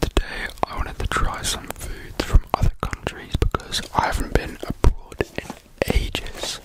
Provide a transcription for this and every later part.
Today I wanted to try some foods from other countries because I haven't been abroad in ages.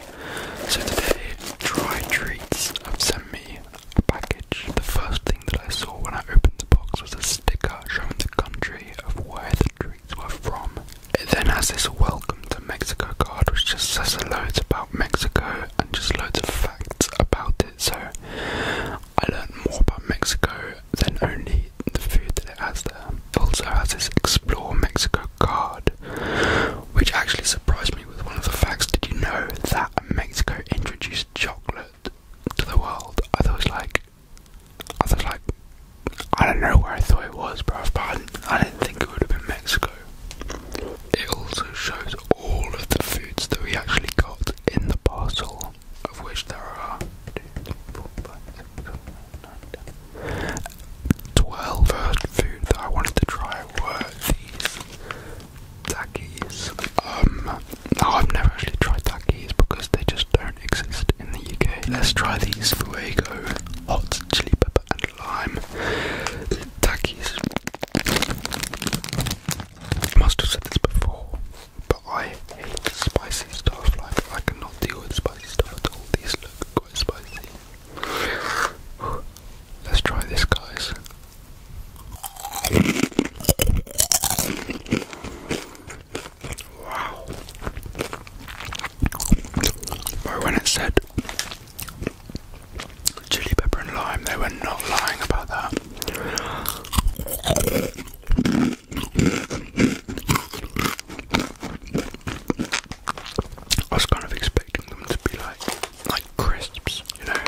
So today Dry Treats have sent me a package. The first thing that I saw when I opened the box was a sticker showing the country of where the treats were from. It then has this welcome to Mexico card which just says loads about Mexico and just loads of facts about it. So I learned more about Mexico than only the food that it has there. It also has this Explore Mexico card, which actually surprised me with one of the facts. Did you know that Mexico introduced chocolate to the world? I thought it was like, I thought it was like, I don't know where I thought it was, bruv, but I didn't, I didn't think it would have been Mexico. It also shows all of the foods that we actually got in the parcel total, of which there are 12 first that I wanted to try were these takis. Um, no, I've never actually tried takis because they just don't exist in the UK. Let's try these fuego, hot chili pepper and lime takis. I must have said this before, but I hate spicy stuff, like I cannot deal with spicy stuff all. These look quite spicy. Let's try this guys. Wow. But when it said chili pepper and lime, they were not lying about that. I was kind of expecting them to be like like crisps, you know,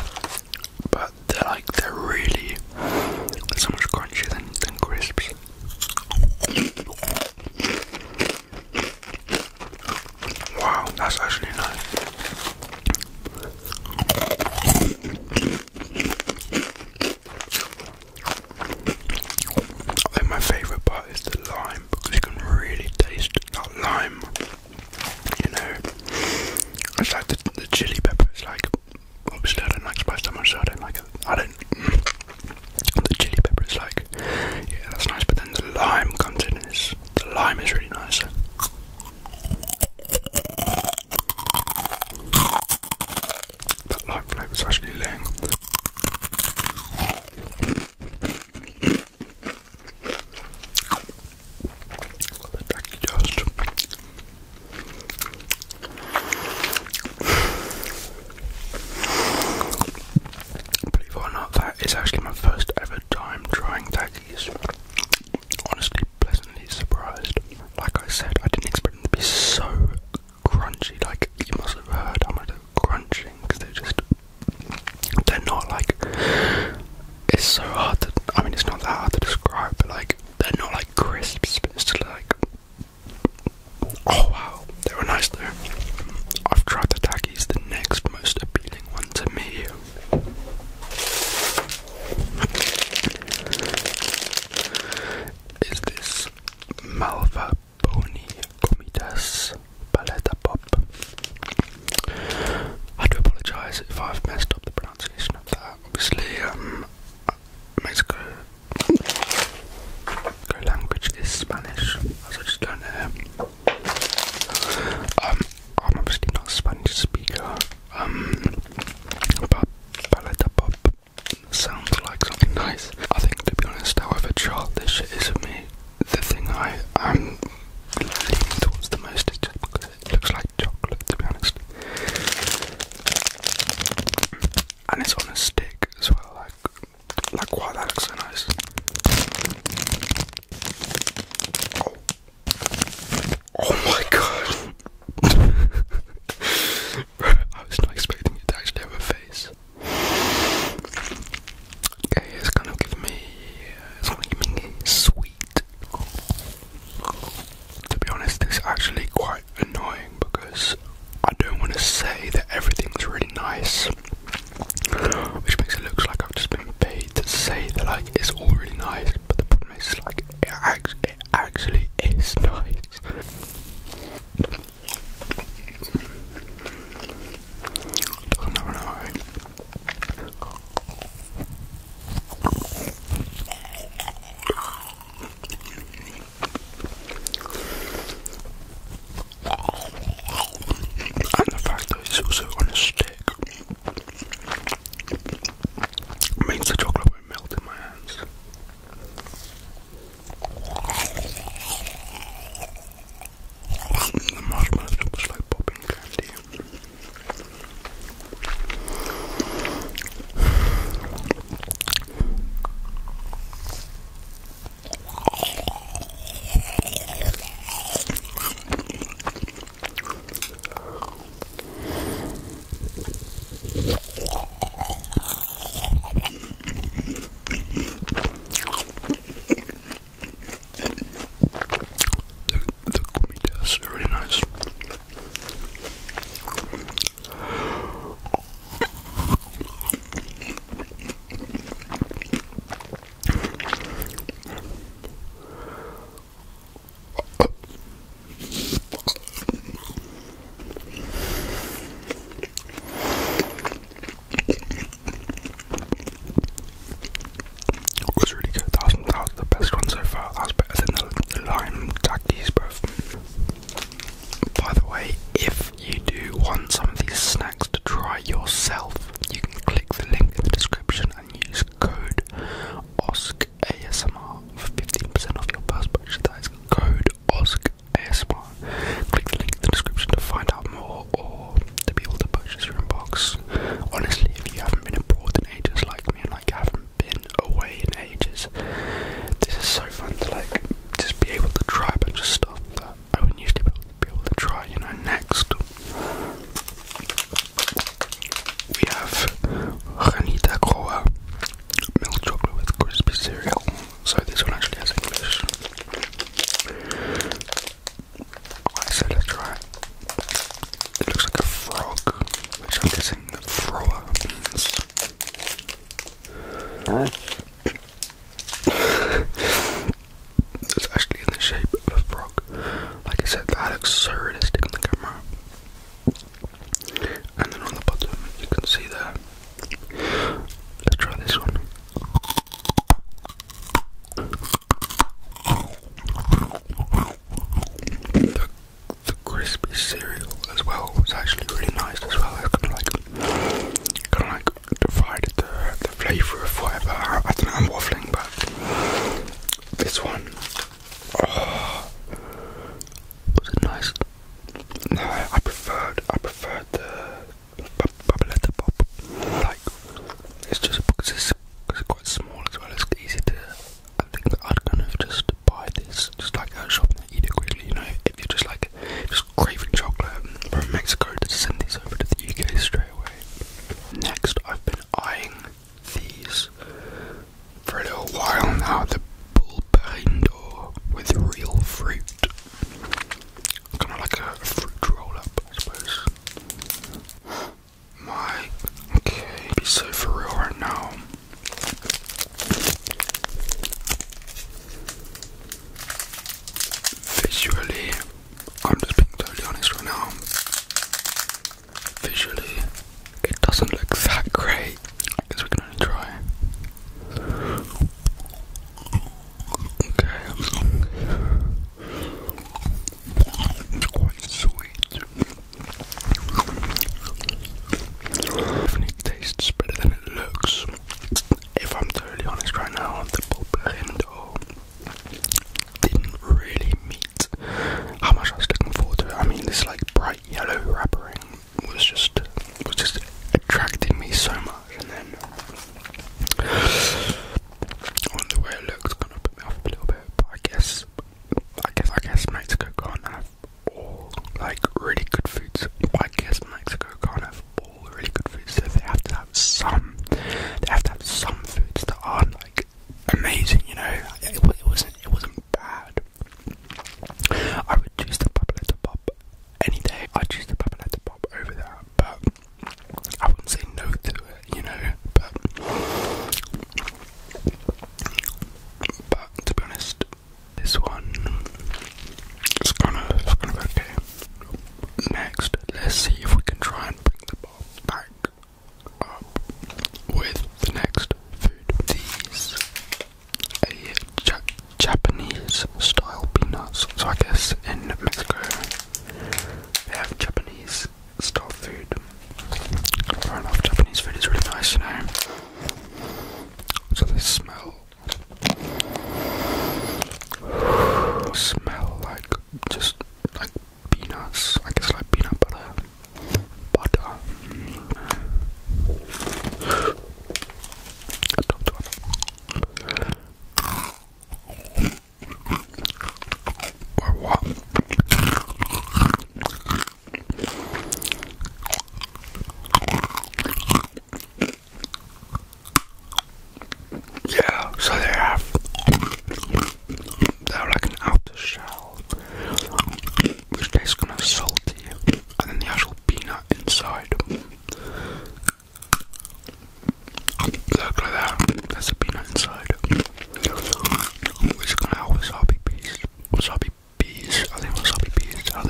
but they're like they're really they so much crunchier than than crisps. Wow, that's actually nice. I think my favourite part is the lime because you can really taste that lime. You know, it's like the, the chili pepper. It's like obviously I don't like spice that much, so I don't like it. I don't. The chili pepper is like, yeah, that's nice. But then the lime comes in, and the lime is really nice. That light flavour is actually laying. Got the tacky dust. Believe or not, that is actually my first ever time trying tackies honestly pleasantly surprised. Like I said, I didn't expect them to be so crunchy. Like you must have heard I'm like are crunching because they're just they're not like it's so hard to. I mean, it's not that hard to describe, but like they're not like crisps. But it's just like oh wow, they were nice though. I've tried the Takis. The next most appealing one to me is this Malva Boni Comitas Paleta I do apologise if I've messed up the pronunciation of that. Obviously, my um, Mexico. language is Spanish, I just learned here. Um, I'm obviously not a Spanish speaker um, but Paleta Pop sounds like something nice. I think, to be honest, however childish is for me, the thing I, am leaning towards the most is just because it looks like chocolate, to be honest. And it's on a stick as well, like, like wow, that looks so nice. Oh. Oh my god! I was not expecting it to actually have a face. Okay, it's gonna give me, it's gonna give me sweet. To be honest, this is actually quite annoying because I don't want to say that everything's really nice, which makes it look like I've just been paid to say that like it's all really nice, but the it's Like it, actually is nice. And the fact that it's also on a stick. It means the chocolate will melt in my hands. Mm, the marshmallows are just like popping candy. The, the gummy tests are really nice. It was really good. That was, the best one so far. That's better than the, lime tackies, bruv. By the way, if you do want some of these snacks to try yourself, you can click the link in the description and use code OSC ASMR 15% off your first purchase. That is code OSC ASMR. Click the link in the description to find out more or to be able to purchase your box. Honestly, if you haven't been abroad in ages like me and like I haven't been away in ages, this is so fun to like just be able to try a bunch of stuff that I wouldn't usually be able to try, you know, next. We have granita Croa milk chocolate with crispy cereal. So this one actually has English. Right, so let's try it. looks like a frog, which I'm guessing the thrower means. it's actually in the shape of a frog. Like I said, that absurd is sticking the camera. And then on the bottom, you can see that. Let's try this one. The, crispy cereal as well was actually really nice as well. It's kind of like, kind of like divided the, the flavour of whatever. I don't know, I'm waffling, but this one Oh, was it nice? No, I preferred, I preferred the Babaletta Pop. Like, it's just because it's, cause it's quite small as well, it's easy to. I think I'd kind of just buy this, just like at a and eat it quickly, you know. If you're just like, just craving chocolate from Mexico, to send these over to the UK straight away. Next, I've been eyeing these for a little while now. The pulparindo with real fruit, kind of like a fruit roll up, I suppose. My okay, be so for real right now. Visually, I'm just being totally honest right now visually it doesn't look that great. I guess we can only try. Okay. It's quite sweet. Definitely tastes better than it looks. If I'm totally honest right now, the pulparindo didn't really meet how much I was looking forward to it. I mean, this like bright yellow wrapper was just was just attracting me so much, and then on the way it looked kind of put me off a little bit. But I guess, I guess, I guess Mexico can't have all like really good foods. I guess Mexico can't have all really good foods, so they have to have some. They have to have some foods that aren't like amazing, you know. It, wasn't. It wasn't bad. I would choose the Papaletta Pop any day. I'd choose the Papaletta Pop over that, but I wouldn't say no to it, you know. But to be honest, this one is kind of it's kind of okay. Next, let's see if we can try and bring the ball back with the next food. These a Japanese style peanuts. So I guess in Mexico they have Japanese style food. Fair enough, Japanese food is really nice, you know. So they smell smell like just like peanuts. I guess like peanut butter. Butter. Yeah, so they have they're like an outer shell, which tastes kind of salty, and then the actual peanut inside. Look like that, there's a peanut inside, which kind of wasabi peas, wasabi peas, I wasabi peas ah,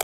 are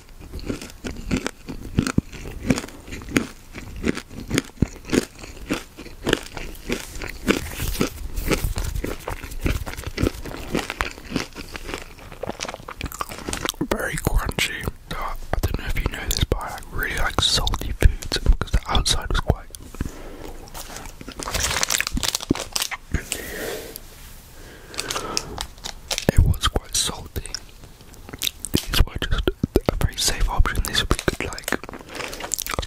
Very crunchy. Uh, I don't know if you know this, but I really like salty foods because the outside was quite. It was quite salty, these were just a very safe option. These would be good, like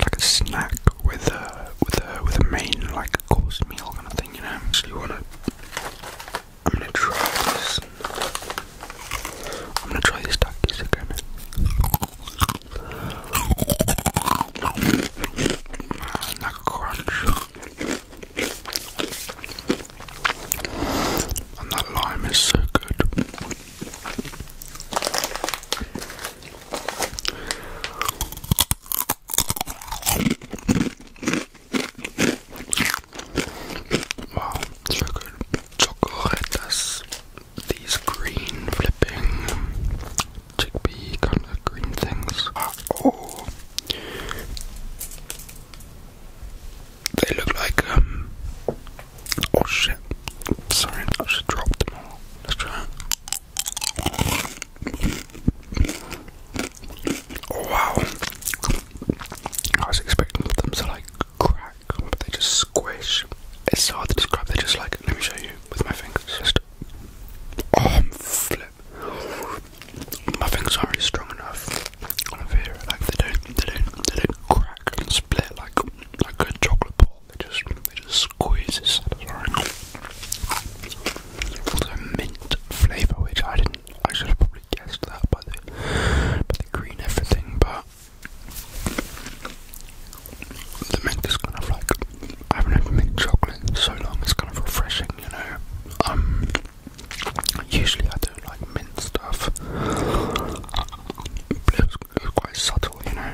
like a snack with a with a with a main like a course meal kind of thing, you know. So you wanna, I'm gonna try this. I'm gonna try these duckies again. Man, mmm, that and that lime is so good. Wow, so good. Chocolates, these green flipping chickpea kind of green things. Ah, oh. They look like, um, oh shit, sorry, I just dropped them all. Let's try it. Oh wow, I was expecting them to like crack, but they just squish. It's hard to describe, they're just like, let me show you with my fingers. Just, oh, flip. My fingers aren't strong enough. I feel like they don't, they don't, they don't crack and split like like a chocolate bar. They just, they just squeeze. It's Also mint flavour, which I didn't. I should have probably guessed that but the by green everything, but the mint is kind of like I haven't had mint chocolate so long. It's kind of refreshing, you know. Um. Usually I don't like mint stuff, it's quite subtle, you know.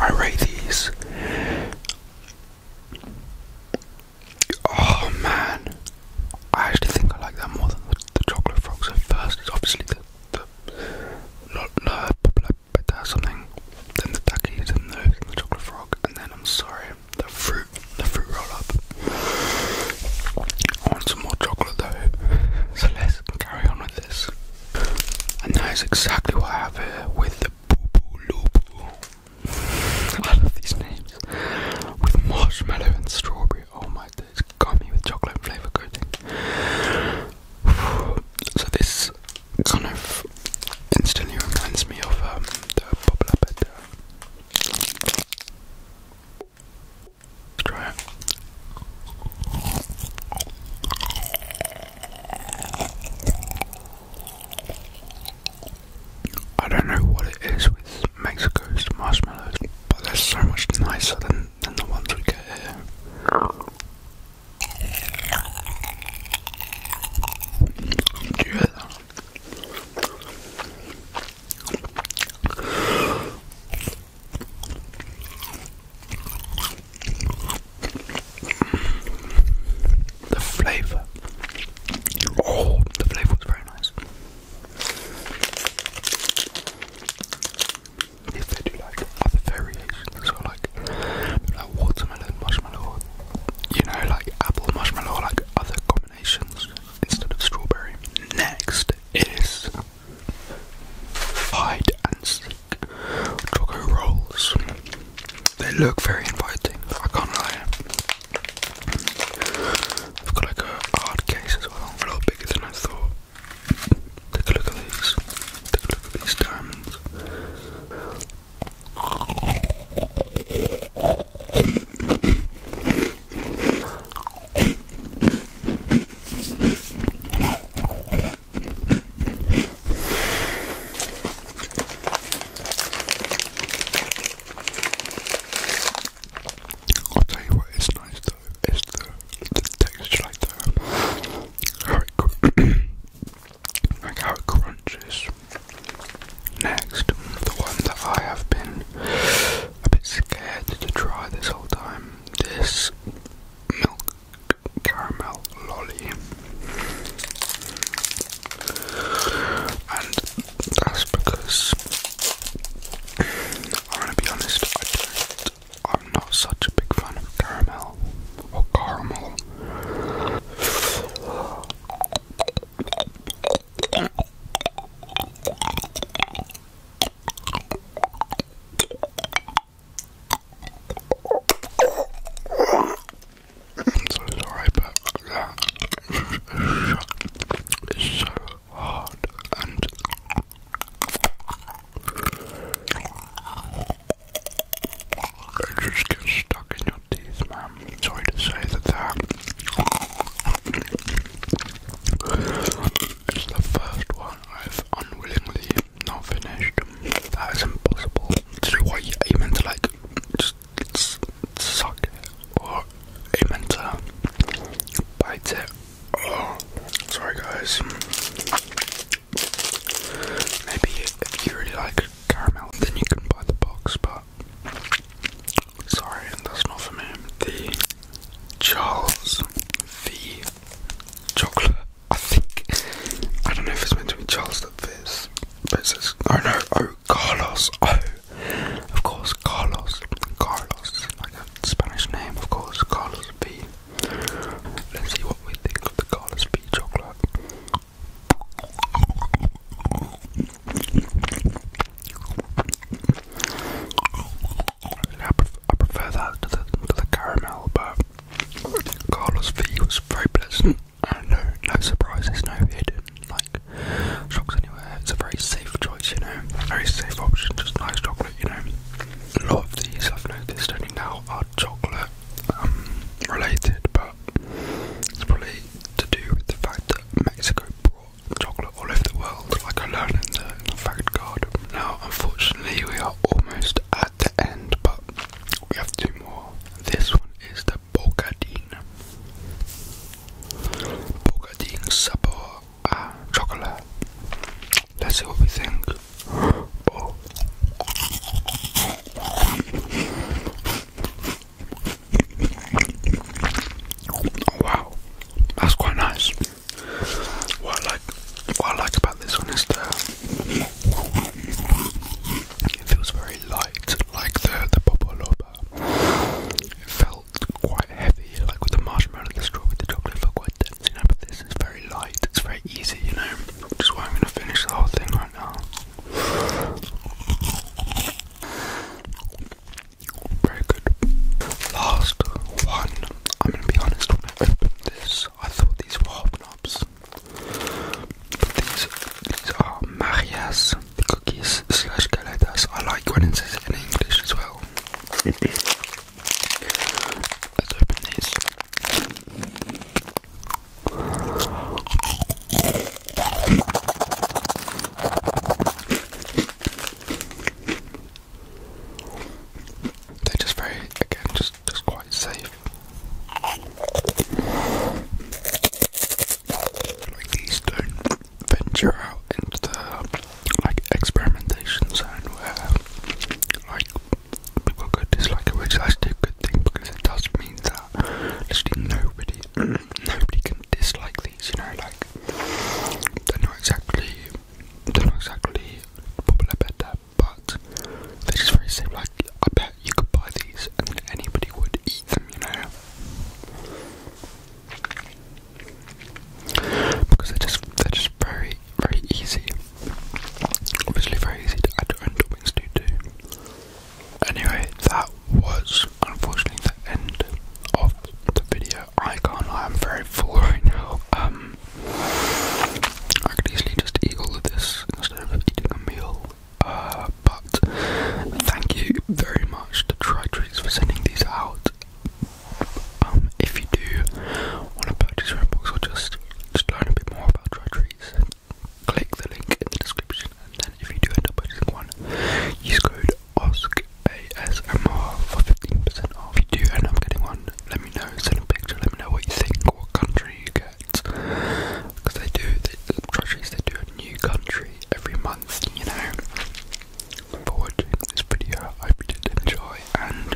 I rate these. Oh man, I actually think I like that more than the, chocolate frogs So first. It's obviously the the better something than the duckies and the chocolate frog, and then I'm sorry, the fruit, the fruit roll up. I want some more chocolate though, so let's carry on with this. And that is exactly what I have here with the Boopoo I love these names. With marshmallow and strawberry. Oh my it's gummy with chocolate flavour coating. So this kind of instantly reminds me of um, the popular pet try it. I don't know what it is with Mexico's marshmallows, but they're so much nicer than, than the ones we get here. Do you the flavour. Oh, the flavour was very nice. If they do like other variations, so like like watermelon marshmallow, you know, like apple marshmallow, like other instead of strawberry. Next is hide and seek choco rolls. They look very inviting. I can't lie. I've got like a hard case as well, a lot bigger than I thought. Take a look at these. Take a look at these diamonds. I'll tell you what is nice though, is the, the texture like the how it, like how it crunches Next, the one that I have been a bit scared to try this whole time. This milk caramel lolly. And that's because I'm to be honest, not I'm not such a big fan of caramel or caramel so sorry, but that is so hard and. It just gets stuck in your teeth, man sorry to say that that is the first one I've unwillingly not finished. That is impossible. This is why you meant to like just suck it or aiming to bite it. Oh, sorry guys. Maybe if you really like caramel, then you can buy the box, but Sorry, that's not for me. The Charles V chocolate. I think I don't know if it's meant to be Charles the this, but it says oh no, oh Carlos, oh of course Carlos, Carlos, like a Spanish name, of course Carlos V. Let's see what we think of the Carlos V chocolate. I, prefer that to the, to the caramel, but Carlos V was very pleasant and uh, no, no surprises, no hidden like shocks anywhere. It's a very safe choice, you know, very safe option, just nice chocolate, you know. A lot of these I've noticed only now are chocolate um, related, but it's probably to do with the fact that Mexico brought chocolate all over the world, like I learned in Now, unfortunately, we are almost at the end, but we have two more. This one is the Bocadine. Bocadine sabor a chocolate. Let's see what we think. Oh wow, that's quite nice. What I like, what I like about this one is the it feels very light, like the the popoloba. It felt quite heavy, like with the marshmallow and the straw with the chocolate, it felt quite dense, you know. But this is very light. It's very easy, you know. Which is why I'm gonna finish the whole thing right now. Very good. Last one. I'm gonna be honest, when I this, I thought these were hobnobs. But these, these are Marias cookies slash galetas. I like when it says in English as well. Let's open these they just very, again, just just quite safe. Like these don't venture out into the like experimentation zone where like people could dislike it, which is actually a good thing because it does mean that literally nobody nobody can dislike these, you know, like they're not exactly they're not exactly popular but they're just very simple. Like I bet you could buy these and anybody would eat them, you know. Because they're just they're just very, very easy. Obviously very easy to add your own toppings to do. Anyway, that was unfortunately the end of the video. I can't I'm very full right now. Um, I could easily just eat all of this instead of eating a meal. Uh, but thank you very much to Try Treats for sending these out. Um, if you do want to purchase your box or just, just learn a bit more about Try Treats, click the link in the description, and then if you do end up getting one, use code A S M R for 15% off. If you do end up getting one, let me know, send a picture, let me know what you think, what country you get, because they do, the treasuries, they do a new country every month, you know. For watching this video, I hope you did enjoy, and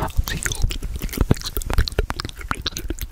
I'll see you all next